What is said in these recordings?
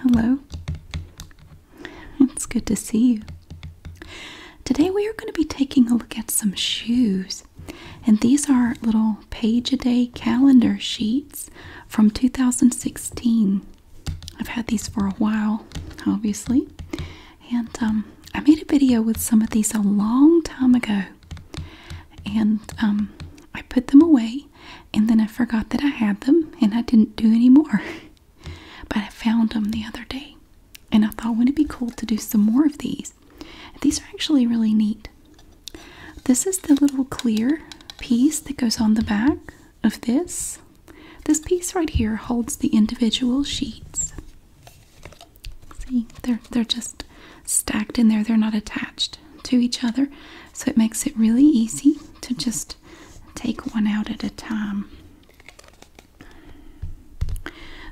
Hello. It's good to see you. Today we are going to be taking a look at some shoes. And these are little page a day calendar sheets from 2016. I've had these for a while, obviously. And um, I made a video with some of these a long time ago and um, I put them away, and then I forgot that I had them, and I didn't do any more. but I found them the other day, and I thought, wouldn't it be cool to do some more of these? These are actually really neat. This is the little clear piece that goes on the back of this. This piece right here holds the individual sheets. See, they're they're just stacked in there. They're not attached to each other. So it makes it really easy to just take one out at a time.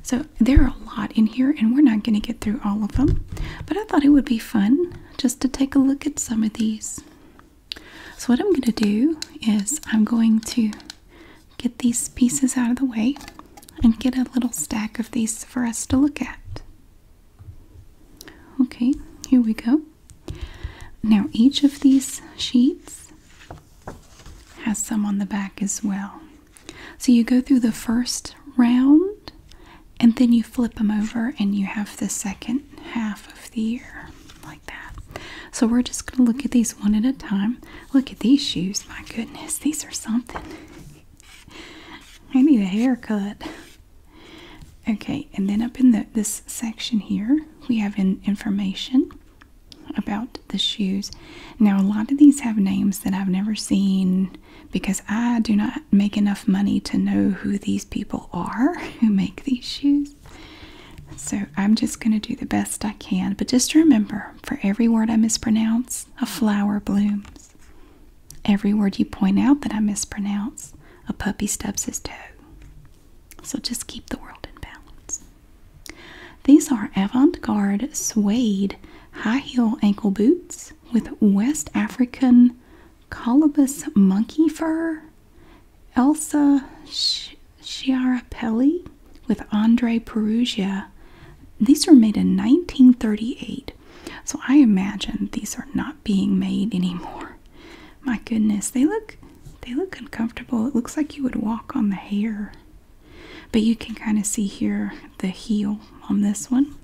So there are a lot in here and we're not going to get through all of them. But I thought it would be fun just to take a look at some of these. So what I'm going to do is I'm going to get these pieces out of the way and get a little stack of these for us to look at. Okay, here we go. Now, each of these sheets has some on the back as well. So you go through the first round and then you flip them over and you have the second half of the year like that. So we're just going to look at these one at a time. Look at these shoes. My goodness, these are something. I need a haircut. Okay, and then up in this section here, we have information about the shoes. Now, a lot of these have names that I've never seen because I do not make enough money to know who these people are who make these shoes. So, I'm just going to do the best I can. But just remember for every word I mispronounce, a flower blooms. Every word you point out that I mispronounce, a puppy stubs his toe. So just keep the world in balance. These are avant garde suede high heeled ankle boots with West African colobus monkey fur. Elsa Schiarapelli with Andre Perugia. These were made in 1938 so I imagine these are not being made anymore. My goodness, they look they look uncomfortable. It looks like you would walk on the hair. But you can kind of see here the heel on this one.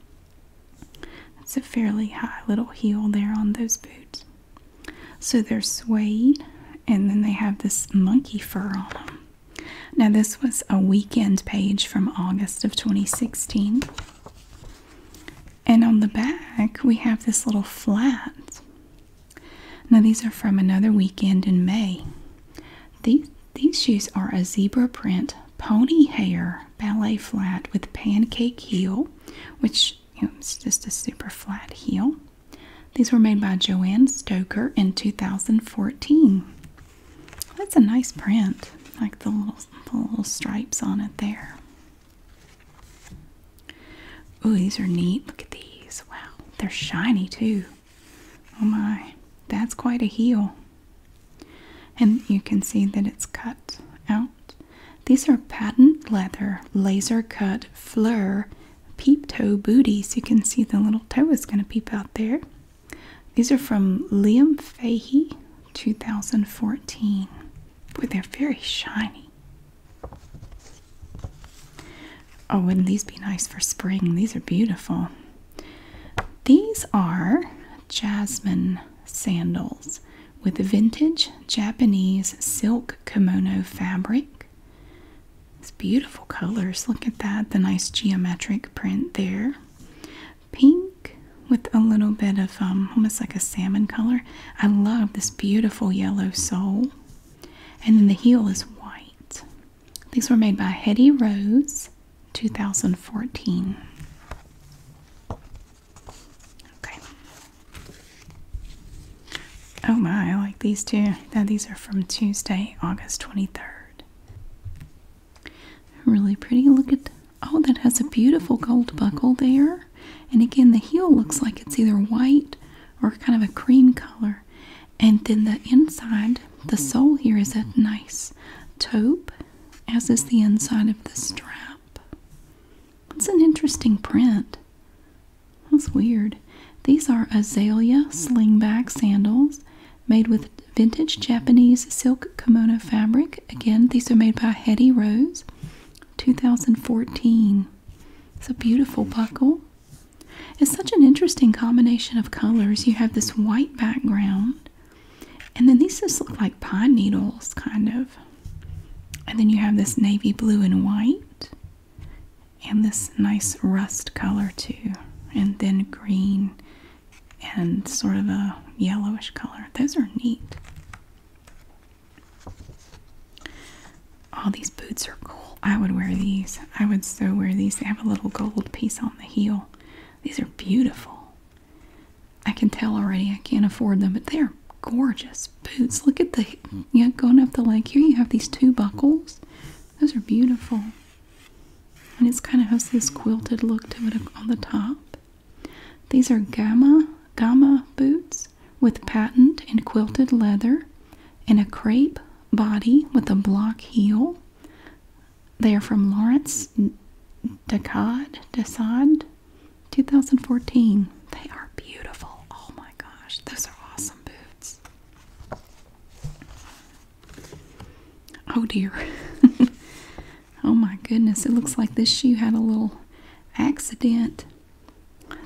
It's a fairly high little heel there on those boots. So they're suede and then they have this monkey fur on them. Now, this was a weekend page from August of 2016. And on the back, we have this little flat. Now, these are from another weekend in May. These, these shoes are a zebra print pony hair ballet flat with pancake heel, which you it's just a super flat heel. These were made by Joanne Stoker in 2014. That's a nice print, like the little, the little stripes on it there. Oh, these are neat. Look at these. Wow, they're shiny too. Oh my, that's quite a heel. And you can see that it's cut out. These are patent leather, laser cut fleur peep toe booties. You can see the little toe is going to peep out there. These are from Liam Fahey, 2014. Boy, they're very shiny. Oh, wouldn't these be nice for spring? These are beautiful. These are jasmine sandals with vintage Japanese silk kimono fabric. It's beautiful colors. Look at that, the nice geometric print there pink with a little bit of um, almost like a salmon color. I love this beautiful yellow sole. And then the heel is white. These were made by Hetty Rose, 2014. Okay. Oh my, I like these too. Now these are from Tuesday, August 23rd. Really pretty. Look at oh, that has a beautiful gold buckle there. And again, the heel looks like it's either white or kind of a cream color. And then the inside, the sole here is a nice taupe, as is the inside of the strap. It's an interesting print. That's weird. These are azalea slingback sandals made with vintage Japanese silk kimono fabric. Again, these are made by Hetty Rose, 2014. It's a beautiful buckle. It's such an interesting combination of colors. You have this white background, and then these just look like pine needles, kind of. And then you have this navy blue and white, and this nice rust color, too, and then green and sort of a yellowish color. Those are neat. All these boots are cool. I would wear these. I would so wear these. They have a little gold piece on the heel. These are beautiful. I can tell already I can't afford them, but they're gorgeous boots. Look at the, yeah going up the leg here, you have these two buckles. Those are beautiful and it's kind of has this quilted look to it on the top. These are gamma gamma boots with patent and quilted leather and a crepe body with a block heel. They are from Lawrence Decade, Decide, 2014. They are beautiful. Oh my gosh, those are awesome boots. Oh dear. oh my goodness. It looks like this shoe had a little accident.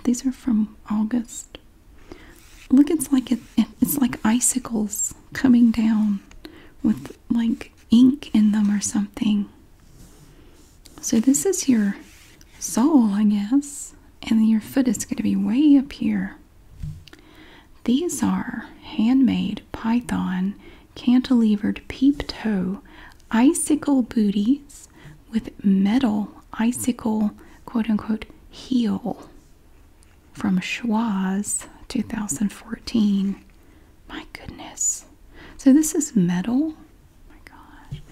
These are from August. Look, it's like it, it's like icicles coming down with like ink in them or something. So this is your sole, I guess. And your foot is going to be way up here. These are handmade python cantilevered peep toe icicle booties with metal icicle quote unquote heel from Schwaz 2014. My goodness. So this is metal. my gosh.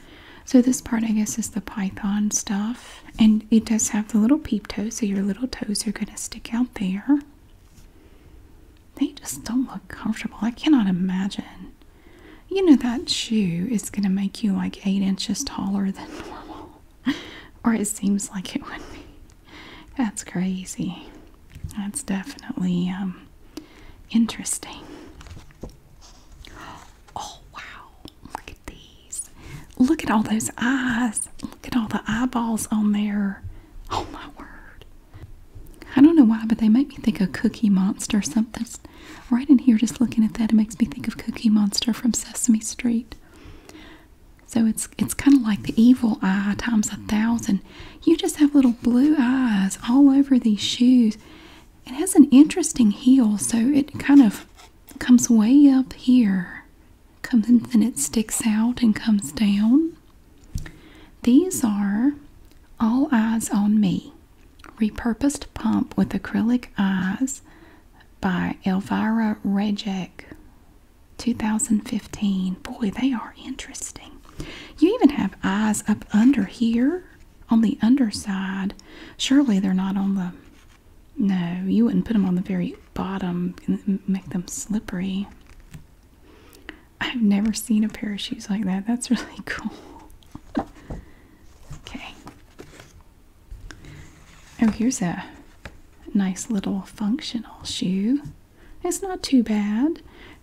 So this part I guess is the python stuff. And it does have the little peep toe, so your little toes are gonna stick out there. They just don't look comfortable. I cannot imagine. You know, that shoe is going to make you like eight inches taller than normal, or it seems like it would be. That's crazy. That's definitely um, interesting. Oh, wow. Look at these. Look at all those eyes. Look at all the eyeballs on there. Oh my word. I don't know why, but they make me think of Cookie Monster or something. Right in here, just looking at that, it makes me think of Cookie Monster from Sesame Street. So it's it's kind of like the evil eye times a thousand. You just have little blue eyes all over these shoes. It has an interesting heel, so it kind of comes way up here comes and then it sticks out and comes down. These are All Eyes on Me repurposed pump with acrylic eyes by Elvira Rejek 2015. Boy, they are interesting. You even have eyes up under here on the underside. Surely they're not on the no, you wouldn't put them on the very bottom and make them slippery. I've never seen a pair of shoes like that. That's really cool. okay. Oh, here's a nice little functional shoe. It's not too bad.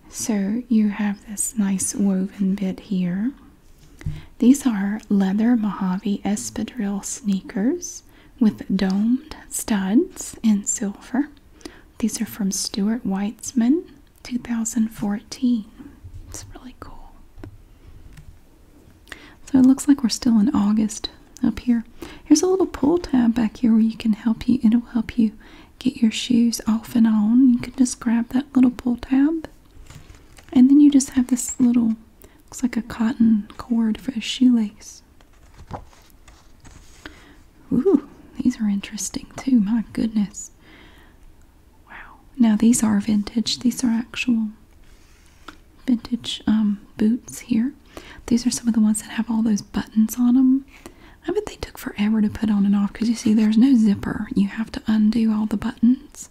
So you have this nice woven bit here. These are leather Mojave espadrille sneakers with domed studs in silver. These are from Stuart Weitzman, 2014. It's really cool. So it looks like we're still in August up here. Here's a little pull tab back here where you can help you. It'll help you get your shoes off and on. You can just grab that little pull tab. And then you just have this little, looks like a cotton cord for a shoelace. Ooh, these are interesting too. My goodness. Wow. Now these are vintage. These are actual vintage um, boots here. These are some of the ones that have all those buttons on them. I bet they took forever to put on and off because you see there's no zipper. You have to undo all the buttons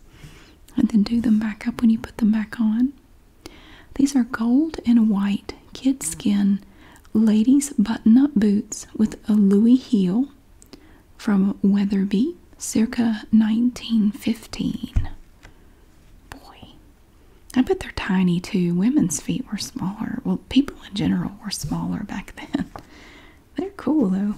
and then do them back up when you put them back on. These are gold and white kid skin ladies' button up boots with a Louis heel from Weatherby circa 1915. Boy, I bet they're tiny too. Women's feet were smaller. Well, people in general were smaller back then. They're cool though.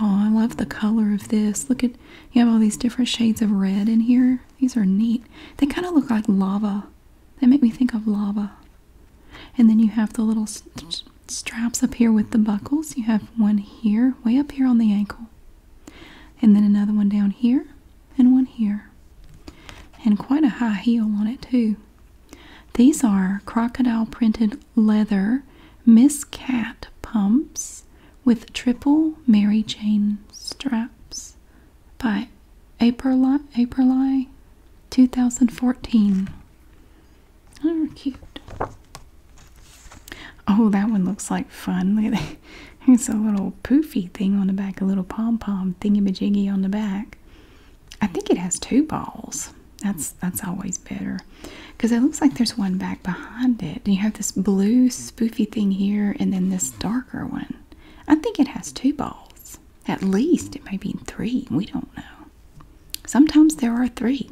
Oh, I love the color of this. Look at you have all these different shades of red in here. These are neat. They kind of look like lava. They make me think of lava. And then you have the little straps up here with the buckles. You have one here, way up here on the ankle. And then another one down here and one here. And quite a high heel on it too. These are crocodile printed leather Miss Cat pumps with triple Mary Jane straps by April April 2014. Oh, cute. Oh, that one looks like fun. Look at that. It's a little poofy thing on the back, a little pom pom thingy majiggy on the back. I think it has two balls that's that's always better because it looks like there's one back behind it and you have this blue spoofy thing here and then this darker one i think it has two balls at least it may be three we don't know sometimes there are three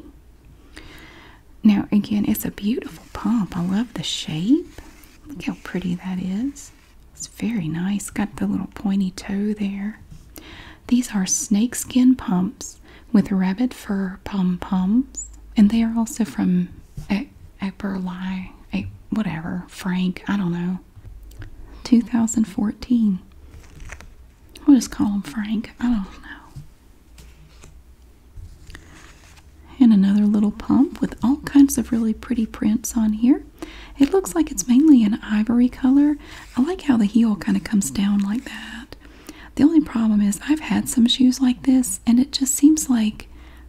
now again it's a beautiful pump i love the shape look how pretty that is it's very nice got the little pointy toe there these are snakeskin pumps with rabbit fur pom poms, and they are also from a Eberly, a whatever Frank, I don't know. 2014. We'll just call him Frank. I don't know. And another little pump with all kinds of really pretty prints on here. It looks like it's mainly an ivory color. I like how the heel kind of comes down like that. The only problem is I've had some shoes like this and it just seems like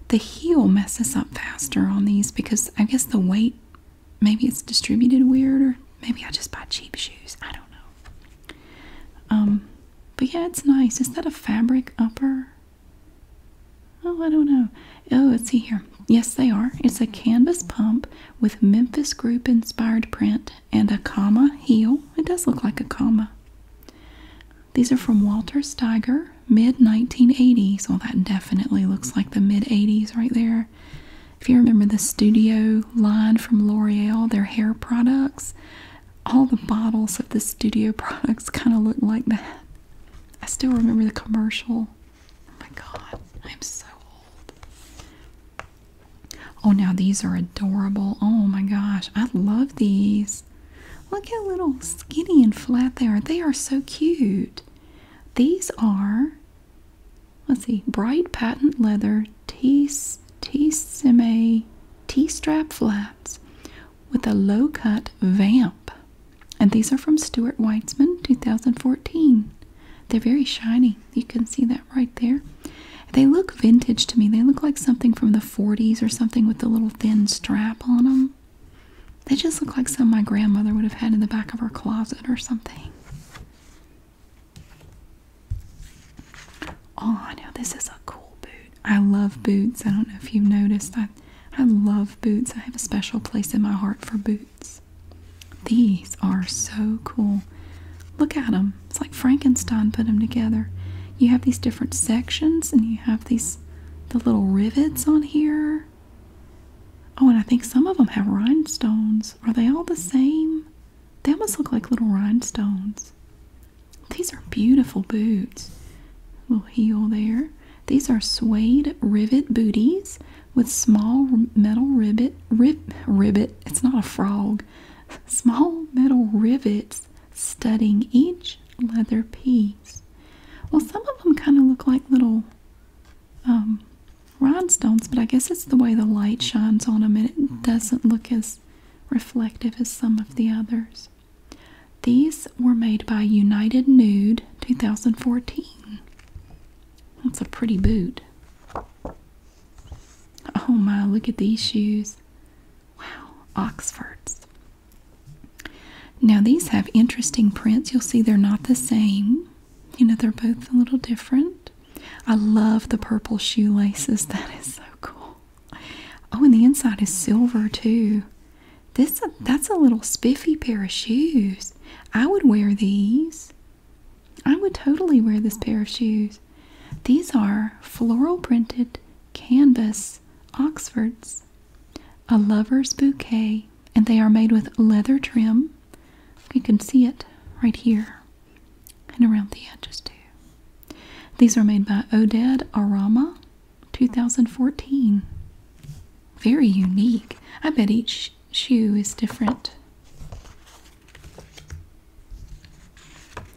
the heel messes up faster on these because I guess the weight maybe it's distributed weird or maybe I just buy cheap shoes. I don't know. Um but yeah, it's nice. Is that a fabric upper? Oh, I don't know. Oh, let's see here. Yes, they are. It's a canvas pump with Memphis Group inspired print and a comma heel. It does look like a comma. These are from Walter Steiger, mid 1980s. So well, that definitely looks like the mid 80s right there. If you remember the studio line from L'Oreal, their hair products, all the bottles of the studio products kind of look like that. I still remember the commercial. Oh my god, I'm so old. Oh, now these are adorable. Oh my gosh, I love these. Look how little skinny and flat they are. They are so cute. These are, let's see, bright patent leather T-Sime T-strap flats with a low-cut vamp. And these are from Stuart Weitzman, 2014. They're very shiny. You can see that right there. They look vintage to me. They look like something from the 40s or something with the little thin strap on them. They just look like something my grandmother would have had in the back of her closet or something. Oh, I know this is a cool boot. I love boots. I don't know if you've noticed. I, I love boots. I have a special place in my heart for boots. These are so cool. Look at them. It's like Frankenstein put them together. You have these different sections and you have these the little rivets on here. Oh, and I think some of them have rhinestones. Are they all the same? They almost look like little rhinestones. These are beautiful boots. Little heel there. These are suede rivet booties with small metal ribbit. Rib, ribbit. It's not a frog small metal rivets studding each leather piece. Well, some of them kind of look like little um, rhinestones, but I guess it's the way the light shines on them and it mm-hmm. doesn't look as reflective as some of the others. These were made by United Nude 2014. That's a pretty boot. Oh my, look at these shoes. Wow, Oxfords. Now, these have interesting prints. You'll see they're not the same. You know, they're both a little different. I love the purple shoelaces. That is so cool. Oh, and the inside is silver too. This that's a little spiffy pair of shoes. I would wear these. I would totally wear this pair of shoes. These are floral printed canvas Oxfords, a lover's bouquet, and they are made with leather trim. You can see it right here and around the edges too. These are made by Oded Arama, 2014. Very unique. I bet each shoe is different.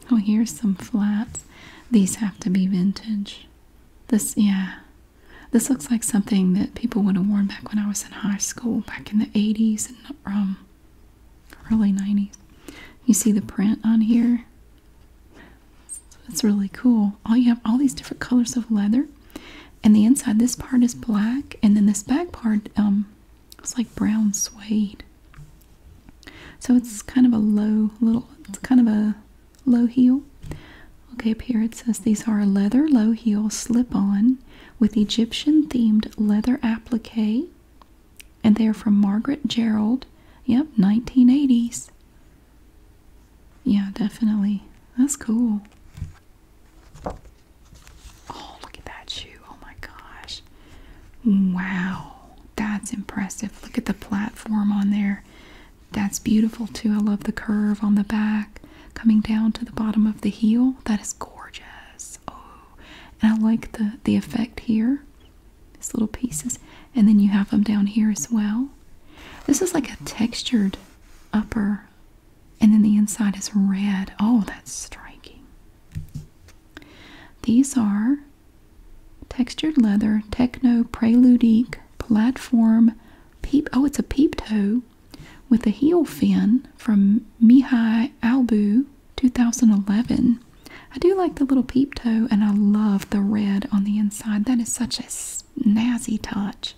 Oh, here's some flats. These have to be vintage. This, yeah. This looks like something that people would have worn back when I was in high school, back in the 80s and um, early 90s. You see the print on here? That's really cool. All you have all these different colors of leather, and the inside, this part is black, and then this back part um, it's like brown suede. So it's kind of a low little, it's kind of a low heel. Okay, up here it says these are leather low heel slip on with Egyptian themed leather applique. And they're from Margaret Gerald. Yep, 1980s. Yeah, definitely. That's cool. Oh, look at that shoe. Oh my gosh. Wow. That's impressive. Look at the platform on there. That's beautiful too. I love the curve on the back coming down to the bottom of the heel. That is gorgeous. Oh, and I like the, the effect here. These little pieces. And then you have them down here as well. This is like a textured upper and then the inside is red. Oh, that's striking. These are textured leather, techno preludique platform peep. Oh, it's a peep toe with a heel fin from Mihai Albu 2011. I do like the little peep toe and I love the red on the inside. That is such a snazzy touch.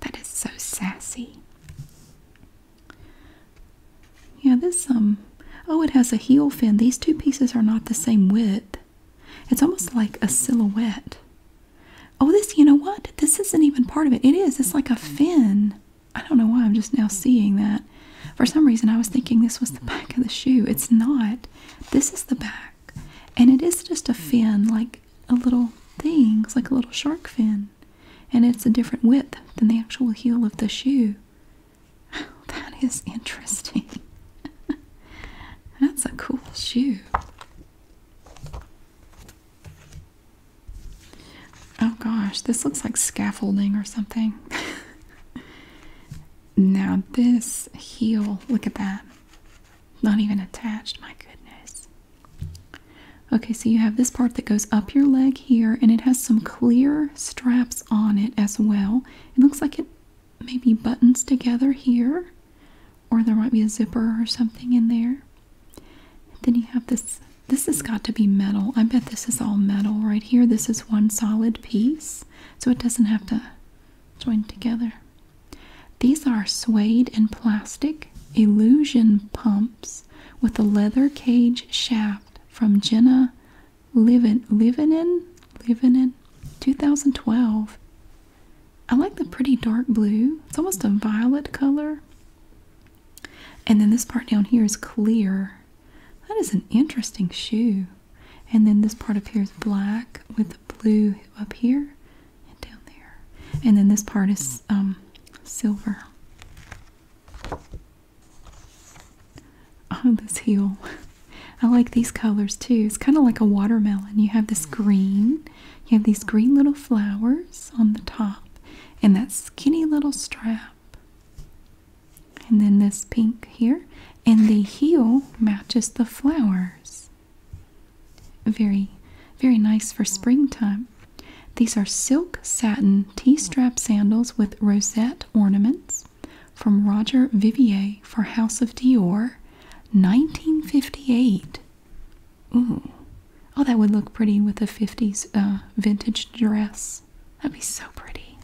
That is so sassy. Yeah, this, um, oh, it has a heel fin. These two pieces are not the same width. It's almost like a silhouette. Oh, this, you know what? This isn't even part of it. It is. It's like a fin. I don't know why I'm just now seeing that. For some reason, I was thinking this was the back of the shoe. It's not. This is the back. And it is just a fin, like a little thing. It's like a little shark fin and it's a different width than the actual heel of the shoe. that is interesting. That's a cool shoe. Oh gosh, this looks like scaffolding or something. now, this heel, look at that. Not even attached, my goodness. Okay, so you have this part that goes up your leg here, and it has some clear straps on it as well. It looks like it maybe buttons together here, or there might be a zipper or something in there. Then you have this. This has got to be metal. I bet this is all metal right here. This is one solid piece, so it doesn't have to join together. These are suede and plastic illusion pumps with a leather cage shaft from Jenna Livin Livinen in 2012. I like the pretty dark blue. It's almost a violet color. And then this part down here is clear. That is an interesting shoe. And then this part up here is black with the blue up here and down there. And then this part is um, silver. Oh, this heel. I like these colors too. It's kind of like a watermelon. You have this mm. green, you have these green little flowers on the top, and that skinny little strap. And then this pink here, and the heel matches the flowers. Very, very nice for mm. springtime. These are silk satin T strap sandals with rosette ornaments from Roger Vivier for House of Dior, 1958. Ooh. Oh, that would look pretty with a 50s uh, vintage dress. That'd be so pretty.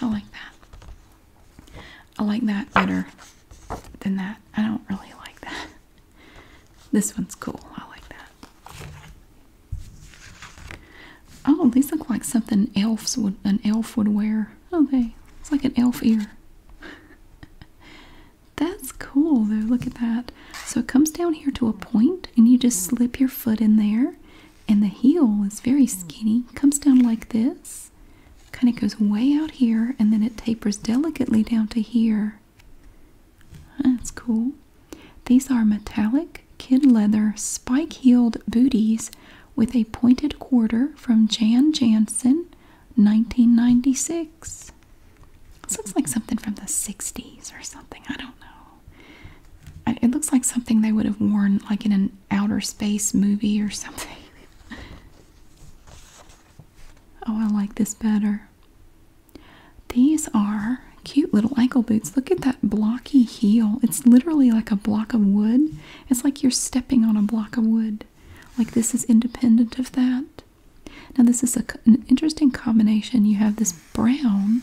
I like that. I like that better than that. I don't really like that. This one's cool. I like that. Oh, these look like something elves would an elf would wear. Oh, they it's like an elf ear. That's cool though. Look at that. So it comes down here to a point, and you just slip your foot in there, and the heel is very skinny. Comes down like this, kind of goes way out here, and then it tapers delicately down to here. That's cool. These are metallic kid leather spike heeled booties with a pointed quarter from Jan Jansen, 1996. This looks like something from the 60s or something. I don't know. It looks like something they would have worn like in an outer space movie or something. oh, I like this better. These are cute little ankle boots. Look at that blocky heel. It's literally like a block of wood. It's like you're stepping on a block of wood. Like this is independent of that. Now this is an interesting combination. You have this brown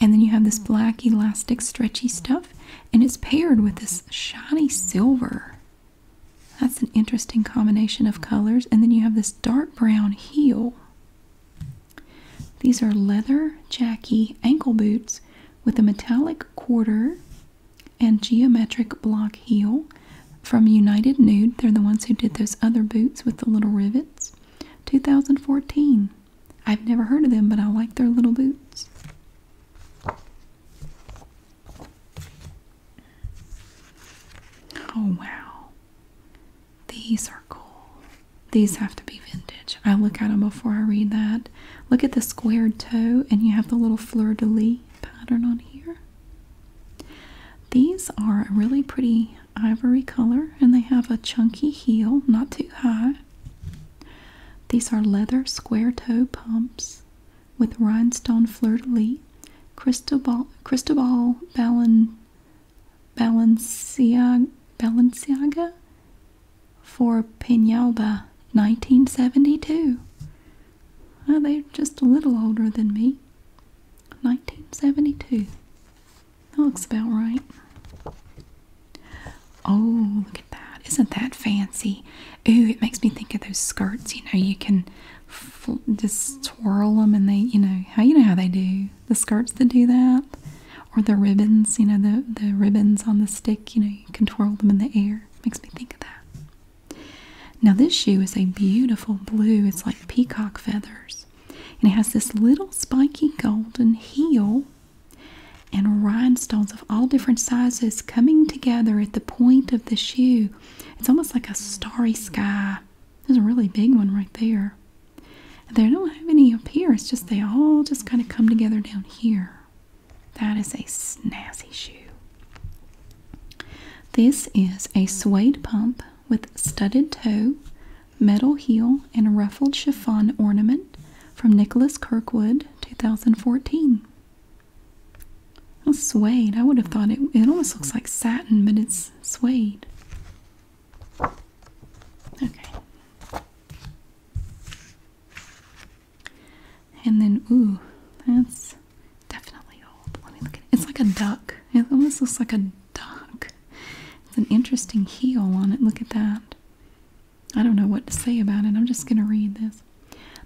and then you have this black elastic stretchy stuff and it's paired with this shiny silver. That's an interesting combination of colors. And then you have this dark brown heel. These are leather Jackie ankle boots with a metallic quarter and geometric block heel from United Nude. They're the ones who did those other boots with the little rivets. 2014. I've never heard of them, but I like their little boots. Oh wow. These are cool. These have to be vintage. I look at them before I read that. Look at the squared toe, and you have the little fleur de lis pattern on here. These are a really pretty ivory color, and they have a chunky heel, not too high. These are leather square toe pumps with Rhinestone Fleur de Lis, Cristobal, Balenciaga, for Peñalba 1972. they're just a little older than me. 1972. That looks about right. Oh, look at that. Isn't that fancy? Ooh, it makes me think of those skirts. You know, you can just twirl them and they you know how you know how they do the skirts that do that or the ribbons you know the the ribbons on the stick you know you can twirl them in the air makes me think of that now this shoe is a beautiful blue it's like peacock feathers and it has this little spiky golden heel and rhinestones of all different sizes coming together at the point of the shoe it's almost like a starry sky. There's a really big one right there. they don't have any up here. It's just they all just kind of come together down here. That is a snazzy shoe. This is a suede pump with studded toe, metal heel, and ruffled chiffon ornament from Nicholas Kirkwood, 2014. That's suede. I would have thought it, it almost looks like satin, but it's suede. Okay. And then, ooh, that's definitely old. Let me look at it. It's like a duck. It almost looks like a duck. It's an interesting heel on it. Look at that. I don't know what to say about it. I'm just going to read this.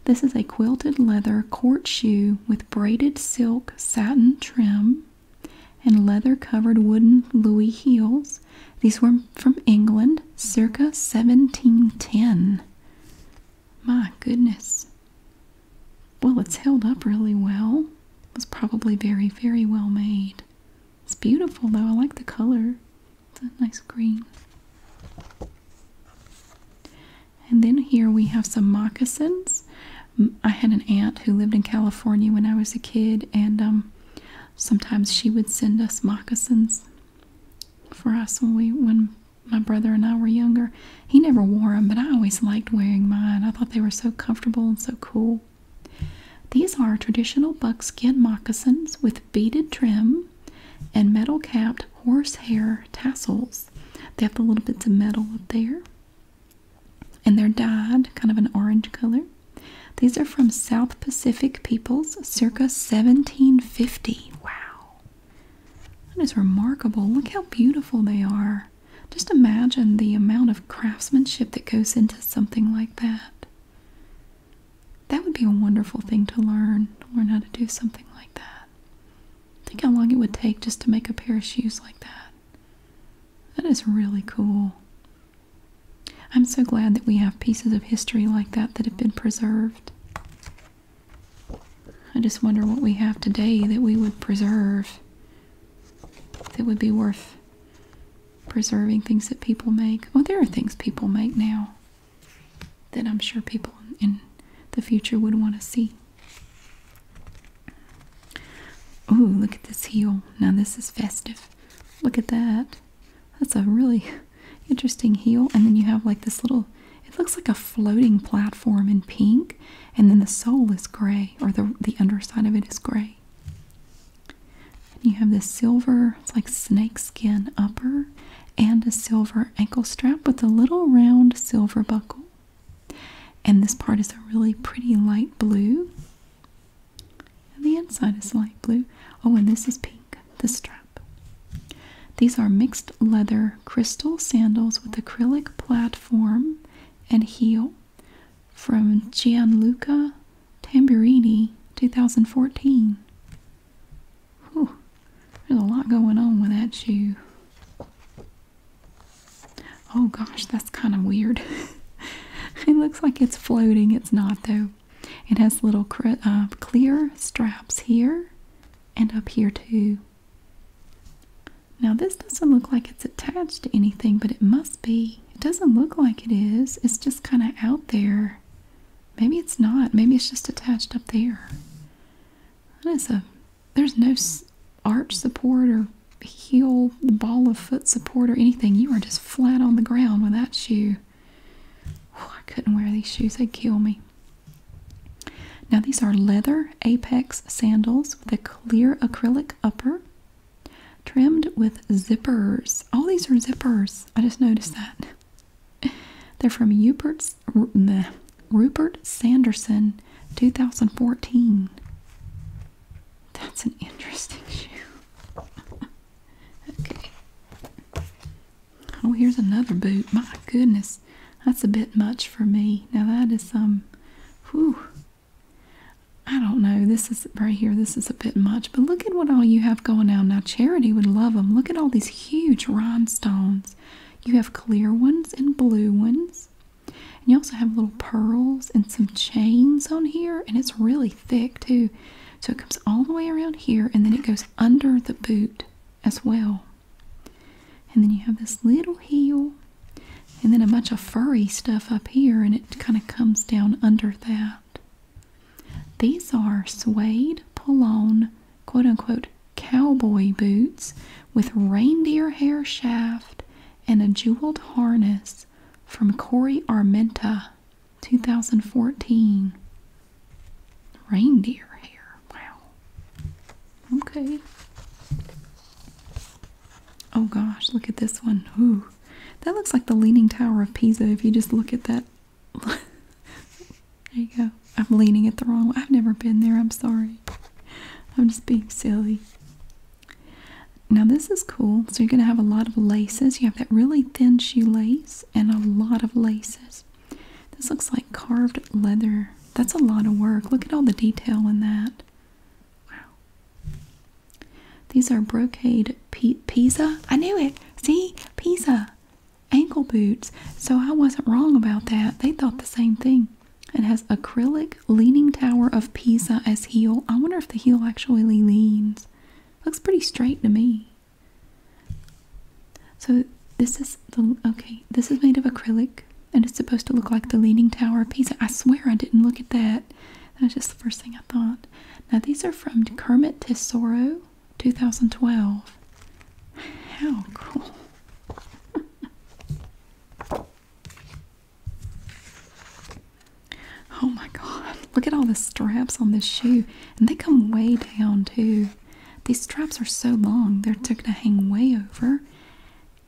This is a quilted leather court shoe with braided silk satin trim and leather covered wooden Louis heels. These were from England circa 1710. My goodness. Well, it's held up really well. It was probably very, very well made. It's beautiful though. I like the color. It's a nice green. And then here we have some moccasins. I had an aunt who lived in California when I was a kid, and um, sometimes she would send us moccasins for us when we when my brother and I were younger. He never wore them, but I always liked wearing mine. I thought they were so comfortable and so cool. These are traditional buckskin moccasins with beaded trim and metal capped horsehair tassels. They have the little bits of metal up there. And they're dyed kind of an orange color. These are from South Pacific peoples circa 1750. Wow. That is remarkable. Look how beautiful they are. Just imagine the amount of craftsmanship that goes into something like that. That would be a wonderful thing to learn, learn how to do something like that. Think how long it would take just to make a pair of shoes like that. That is really cool. I'm so glad that we have pieces of history like that that have been preserved. I just wonder what we have today that we would preserve, that would be worth preserving things that people make. Well, there are things people make now that I'm sure people in the future would want to see. Oh, look at this heel. Now this is festive. Look at that. That's a really interesting heel. And then you have like this little, it looks like a floating platform in pink. And then the sole is gray, or the, the underside of it is gray. you have this silver, it's like snakeskin upper and a silver ankle strap with a little round silver buckle. And this part is a really pretty light blue. And the inside is light blue. Oh, and this is pink, the strap. These are mixed leather crystal sandals with acrylic platform and heel from Gianluca Tamburini, 2014 there's a lot going on with that shoe. Oh gosh, that's kind of weird. it looks like it's floating. It's not though. It has little uh, clear straps here and up here too. Now this doesn't look like it's attached to anything, but it must be. It doesn't look like it is. It's just kind of out there. Maybe it's not. Maybe it's just attached up there. That is a there's no arch support or heel, ball of foot support or anything. You are just flat on the ground with that shoe. I couldn't wear these shoes. They'd kill me. Now these are leather apex sandals with a clear acrylic upper trimmed with zippers. All these are zippers. I just noticed that. They're from Rupert's Rupert Sanderson 2014. That's an interesting shoe. okay. Oh, here's another boot. My goodness. That's a bit much for me. Now that is some. Um, whew. I don't know. This is right here. This is a bit much. But look at what all you have going on now. Charity would love them. Look at all these huge rhinestones. You have clear ones and blue ones. And you also have little pearls and some chains on here, and it's really thick too. So it comes all the way around here and then it goes under the boot as well. And then you have this little heel and then a bunch of furry stuff up here and it kind of comes down under that. These are suede pull quote-unquote cowboy boots with reindeer hair shaft and a jeweled harness from Corey Armenta, 2014. Reindeer hair. Wow. Okay. Oh gosh, look at this one. Ooh. That looks like the Leaning Tower of Pisa if you just look at that There you go. I'm leaning it the wrong way. I've never been there. I'm sorry. I'm just being silly. Now this is cool. So you're going to have a lot of laces. You have that really thin shoe lace and a lot of laces. This looks like carved leather. That's a lot of work. Look at all the detail in that. Wow. These are brocade pi I knew it. See? Pisa ankle boots. So I wasn't wrong about that. They thought the same thing. It has acrylic leaning tower of Pisa as heel. I wonder if the heel actually leans. Looks pretty straight to me. So this is the okay. This is made of acrylic, and it's supposed to look like the leaning tower of Pisa. I swear I didn't look at that. That was just the first thing I thought. Now these are from Kermit Tesoro. 2012. How cool! oh my god, look at all the straps on this shoe, and they come way down too. These straps are so long, they're, they're going to hang way over,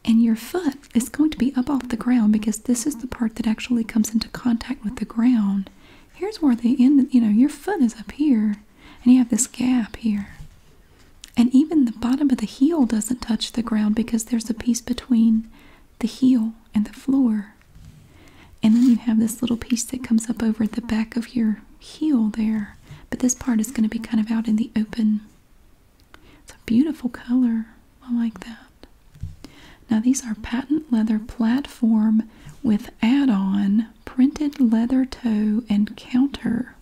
and your foot is going to be up off the ground because this is the part that actually comes into contact with the ground. Here's where the end, you know, your foot is up here and you have this gap here. And even the bottom of the heel doesn't touch the ground because there's a piece between the heel and the floor. And then you have this little piece that comes up over the back of your heel there. But this part is going to be kind of out in the open. It's a beautiful color. I like that. Now, these are patent leather platform with add on printed leather toe and counter.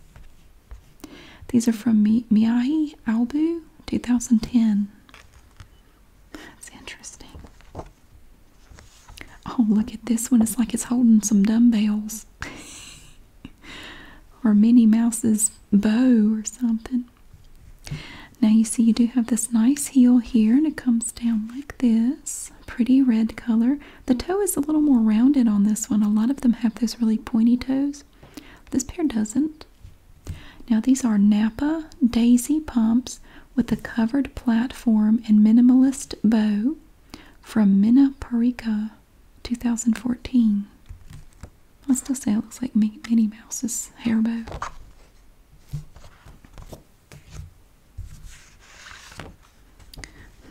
These are from Mi Miyahi Albu, 2010. That's interesting. Oh, look at this one. It's like it's holding some dumbbells. or Minnie Mouse's bow or something. Now you see you do have this nice heel here and it comes down like this pretty red color. The toe is a little more rounded on this one. A lot of them have those really pointy toes. This pair doesn't. Now these are Napa Daisy pumps with a covered platform and minimalist bow from Minna 2014. I still say it looks like Minnie Mouse's hair bow.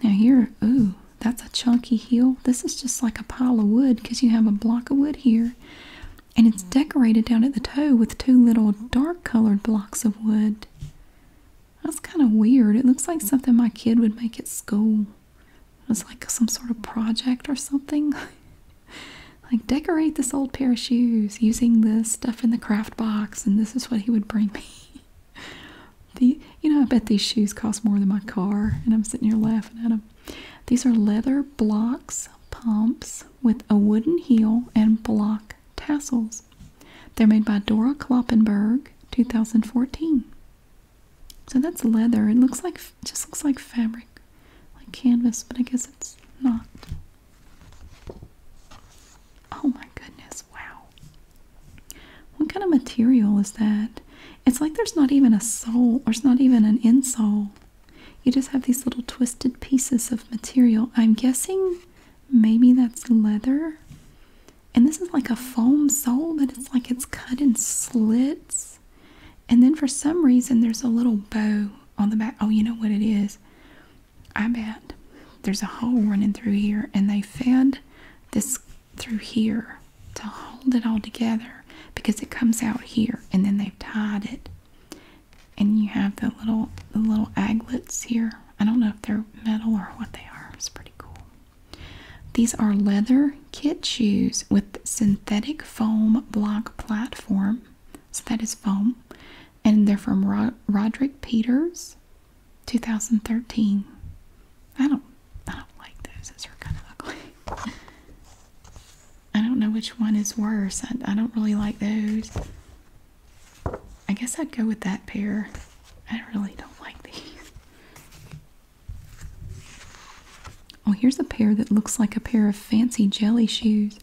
Now here, ooh, that's a chunky heel. This is just like a pile of wood because you have a block of wood here. And it's mm-hmm. decorated down at the toe with two little dark colored blocks of wood. That's kind of weird. It looks like something my kid would make at school. It's like some sort of project or something. like decorate this old pair of shoes using this stuff in the craft box and this is what he would bring me. the you know I bet these shoes cost more than my car, and I'm sitting here laughing at them. These are leather blocks pumps with a wooden heel and block tassels. They're made by Dora Kloppenberg, 2014. So that's leather. It looks like just looks like fabric, like canvas, but I guess it's not. Oh my goodness, wow. What kind of material is that? It's like there's not even a sole, or it's not even an insole. You just have these little twisted pieces of material. I'm guessing maybe that's leather. And this is like a foam sole, but it's like it's cut in slits. And then for some reason, there's a little bow on the back. Oh, you know what it is? I bet there's a hole running through here, and they fed this through here to hold it all together because it comes out here, and then they've tied it. And you have the little the little aglets here. I don't know if they're metal or what they are. It's pretty cool. These are leather kid shoes with synthetic foam block platform. So that is foam. And they're from Roderick Peters. 2013. I don't I don't like those. Those are kind of ugly. I don't know which one is worse. I, don't really like those. I guess I'd go with that pair. I really don't like these. Oh, here's a pair that looks like a pair of fancy jelly shoes.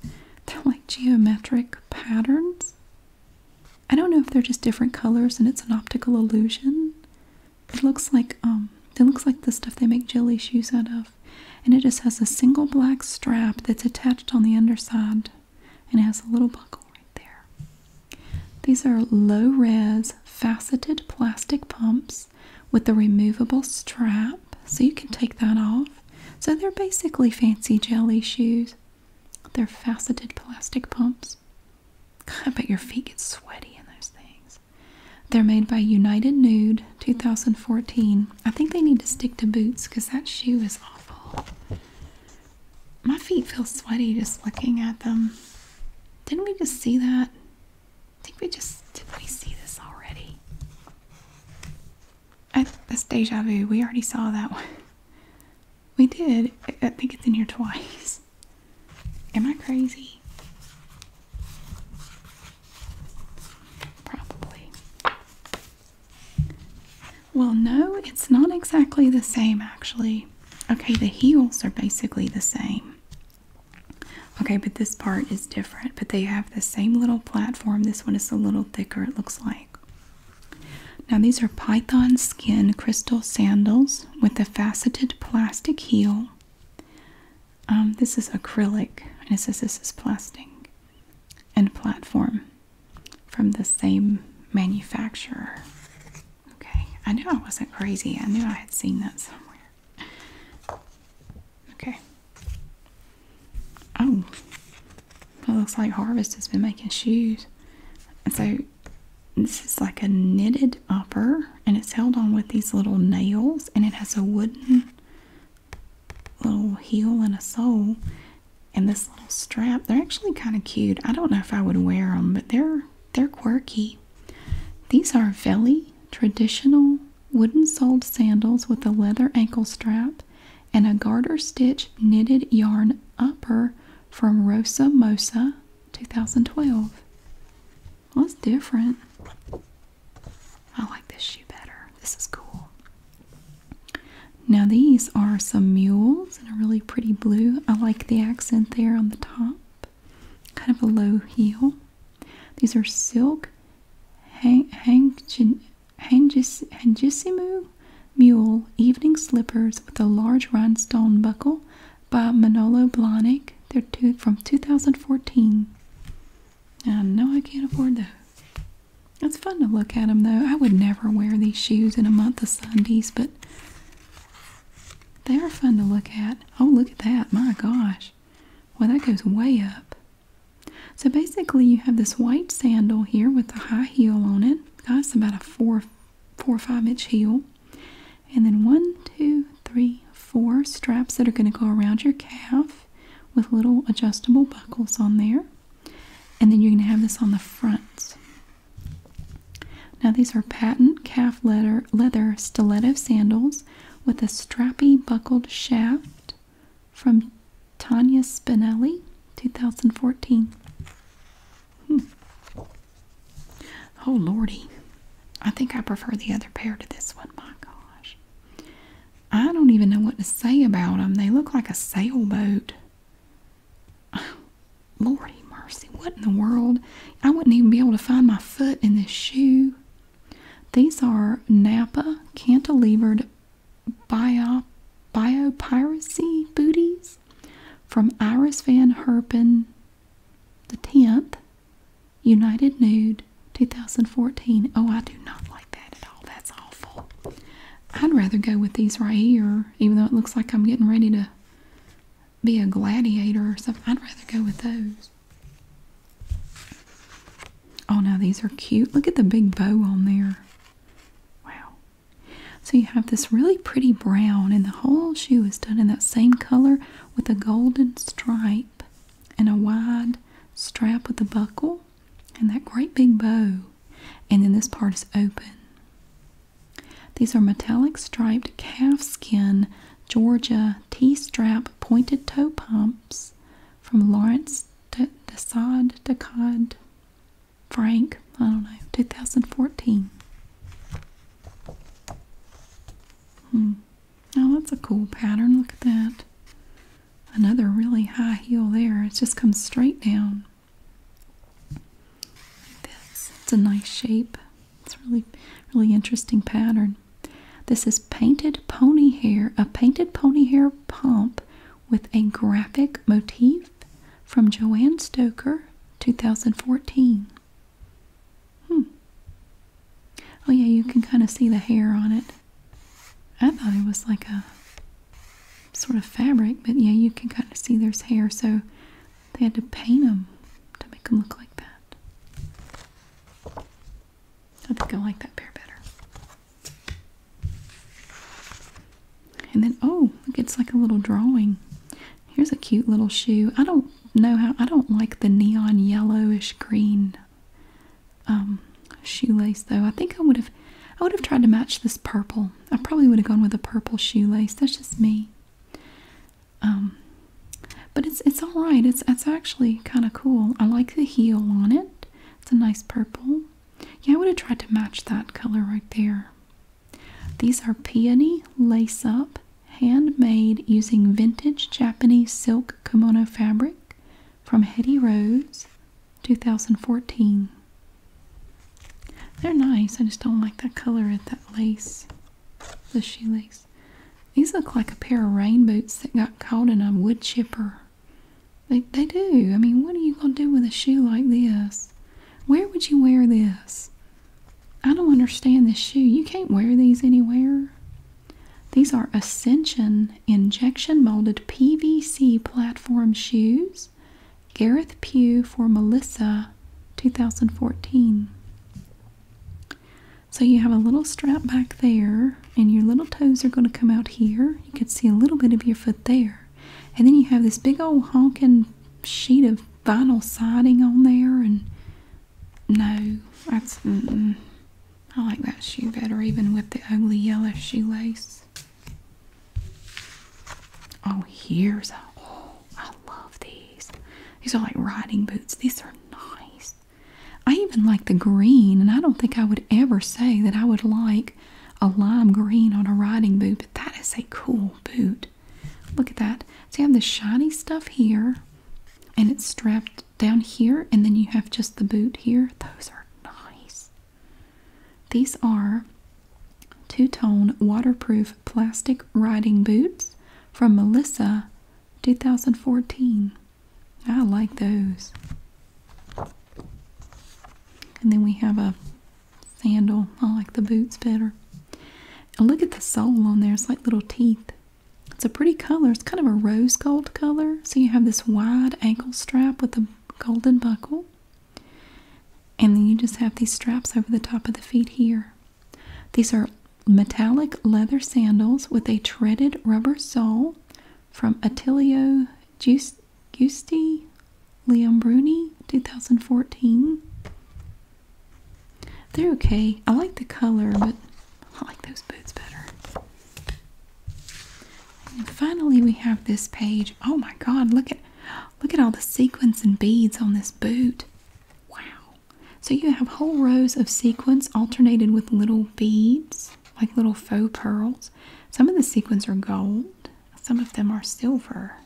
They're like geometric patterns. I don't know if they're just different colors and it's an optical illusion. It looks like um it looks like the stuff they make jelly shoes out of. And it just has a single black strap that's attached on the underside and it has a little buckle right there. These are low res faceted plastic pumps with a removable strap so you can take that off. So they're basically fancy jelly shoes they're faceted plastic pumps. God, I bet your feet get sweaty in those things. They're made by United Nude 2014. I think they need to stick to boots because that shoe is awful. My feet feel sweaty just looking at them. Didn't we just see that? I think we just did we see this already? I, that's deja vu. We already saw that one. We did. I think it's in here twice. Am I crazy? Probably. Well, no, it's not exactly the same, actually. Okay, the heels are basically the same. Okay, but this part is different, but they have the same little platform. This one is a little thicker, it looks like. Now, these are python skin crystal sandals with a faceted plastic heel. Um, this is acrylic, and it says this is plastic and platform from the same manufacturer. Okay, I knew I wasn't crazy, I knew I had seen that somewhere. Okay. Oh, it looks like Harvest has been making shoes. And so this is like a knitted upper and it's held on with these little nails and it has a wooden little heel and a sole and this little strap. They're actually kind of cute. I don't know if I would wear them, but they're they're quirky. These are Velly traditional wooden soled sandals with a leather ankle strap and a garter stitch knitted yarn upper from Rosa Mosa 2012. Well, that's different. I like this shoe better. This is cool. Now these are some mules in a really pretty blue. I like the accent there on the top. Kind of a low heel. These are silk hang, Mule Evening Slippers with a Large Rhinestone Buckle by Manolo Blahnik. They're from 2014. I know I can't afford those. It's fun to look at them though. I would never wear these shoes in a month of Sundays, but they are fun to look at. Oh, look at that. My gosh. Well, that goes way up. So basically you have this white sandal here with a high heel on it guys, about a four, four or five inch heel. And then one, two, three, four straps that are going to go around your calf with little adjustable buckles on there. And then you're going to have this on the front. Now these are patent calf leather, leather stiletto sandals with a strappy buckled shaft from Tanya Spinelli, 2014. Hmm. Oh, Lordy. I think I prefer the other pair to this one. My gosh. I don't even know what to say about them. They look like a sailboat. Oh, Lordy mercy. What in the world? I wouldn't even be able to find my foot in this shoe. These are Napa cantilevered bio, biopiracy booties from Iris Van Herpen the 10th, United Nude 2014. Oh, I do not like that at all. That's awful. I'd rather go with these right here, even though it looks like I'm getting ready to be a gladiator or something. I'd rather go with those. Oh, now these are cute. Look at the big bow on there. Wow. So you have this really pretty brown, and the whole shoe is done in that same color with a golden stripe and a wide strap with a buckle and that great big bow. And then this part is open. These are metallic striped calf skin Georgia T strap pointed toe pumps from Lawrence Desad Decade Frank, I don't know, 2014. Hmm. Now that's a cool pattern. Look at that. Another really high heel there. It just comes straight down. this. It's a nice shape. It's really, really interesting pattern. This is painted pony hair, a painted pony hair pump with a graphic motif from Joanne Stoker, 2014. Hmm. Oh, yeah, you can kind of see the hair on it. I thought it was like a sort of fabric, but yeah, you can kind of see there's hair, so they had to paint them to make them look like that. I think I like that pair better. And then, oh, look, it's like a little drawing. Here's a cute little shoe. I don't know how, I don't like the neon yellowish green um, shoelace though. I think I would have, I would have tried to match this purple. I probably would have gone with a purple shoelace. That's just me. Um, but it's, it's all right. It's, it's actually kind of cool. I like the heel on it. It's a nice purple. Yeah, I would have tried to match that color right there. These are peony lace up, handmade using vintage Japanese silk kimono fabric from Hetty Rose, 2014. They're nice. I just don't like that color at that lace, the shoelace. These look like a pair of rain boots that got caught in a wood chipper. They, they do. I mean, what are you going to do with a shoe like this? Where would you wear this? I don't understand this shoe. You can't wear these anywhere. These are Ascension injection molded PVC platform shoes. Gareth Pugh for Melissa 2014. So you have a little strap back there, and your little toes are going to come out here. You can see a little bit of your foot there. And then you have this big old honking sheet of vinyl siding on there, and no, that's. I like that shoe better, even with the ugly yellow shoelace. Oh, here's Oh, I love these. These are like riding boots. These are nice. I even like the green, and I don't think I would ever say that I would like a lime green on a riding boot, but that is a cool boot. Look at that. So you have the shiny stuff here, and it's strapped down here, and then you have just the boot here. Those are nice. These are two-tone waterproof plastic riding boots from Melissa 2014. I like those. And then we have a sandal. I like the boots better. look at the sole on there. It's like little teeth. It's a pretty color. It's kind of a rose gold color. So you have this wide ankle strap with a golden buckle. And then you just have these straps over the top of the feet here. These are metallic leather sandals with a treaded rubber sole from Attilio Juice was Liam Bruni, 2014. They're okay. I like the color, but I like those boots better. finally, we have this page. Oh my God! Look at look at all the sequins and beads on this boot. Wow! So you have whole rows of sequins alternated with little beads like little faux pearls. Some of the sequins are gold, some of them are silver.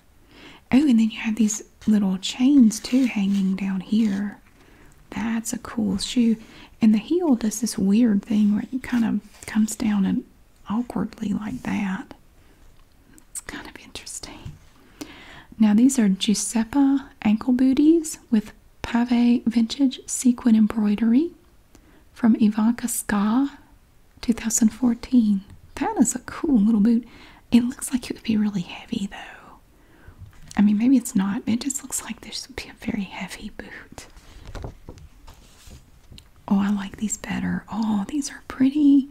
Oh, and then you have these little chains too hanging down here. That's a cool shoe. And the heel does this weird thing where it kind of comes down and awkwardly like that. It's kind of interesting. Now these are Giuseppe ankle booties with pave vintage sequin embroidery from Ivanka Ska 2014. That is a cool little boot. It looks like it would be really heavy though. I mean, maybe it's not, it just looks like this would be a very heavy boot. Oh, I like these better. Oh, these are pretty.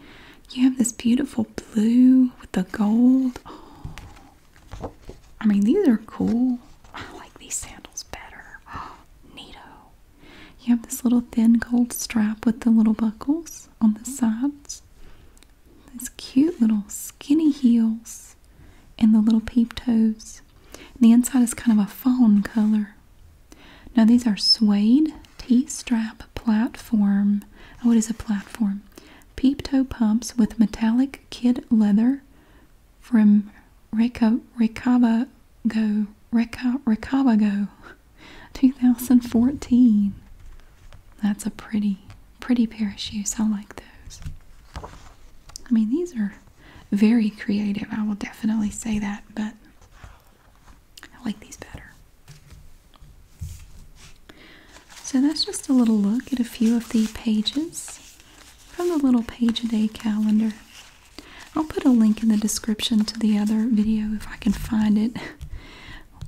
You have this beautiful blue with the gold. I mean, these are cool. I like these sandals better. Oh, neato. You have this little thin gold strap with the little buckles on the sides. These cute little skinny heels and the little peep toes. the inside is kind of a fawn color. Now these are suede T-strap platform. What oh, is a platform. Peep toe pumps with metallic kid leather from Reca Recaba Go Recabago 2014. That's a pretty, pretty pair of shoes. I like those. I mean, these are very creative. I will definitely say that, but I like these better. So that's just a little look at a few of the pages from the little page a day calendar. I'll put a link in the description to the other video if I can find it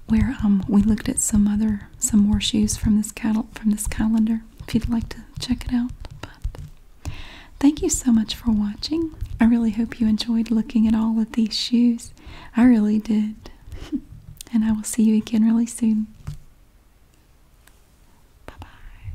where um we looked at some other some more shoes from this cattle from this calendar if you'd like to check it out but thank you so much for watching I really hope you enjoyed looking at all of these shoes I really did and I will see you again really soon bye bye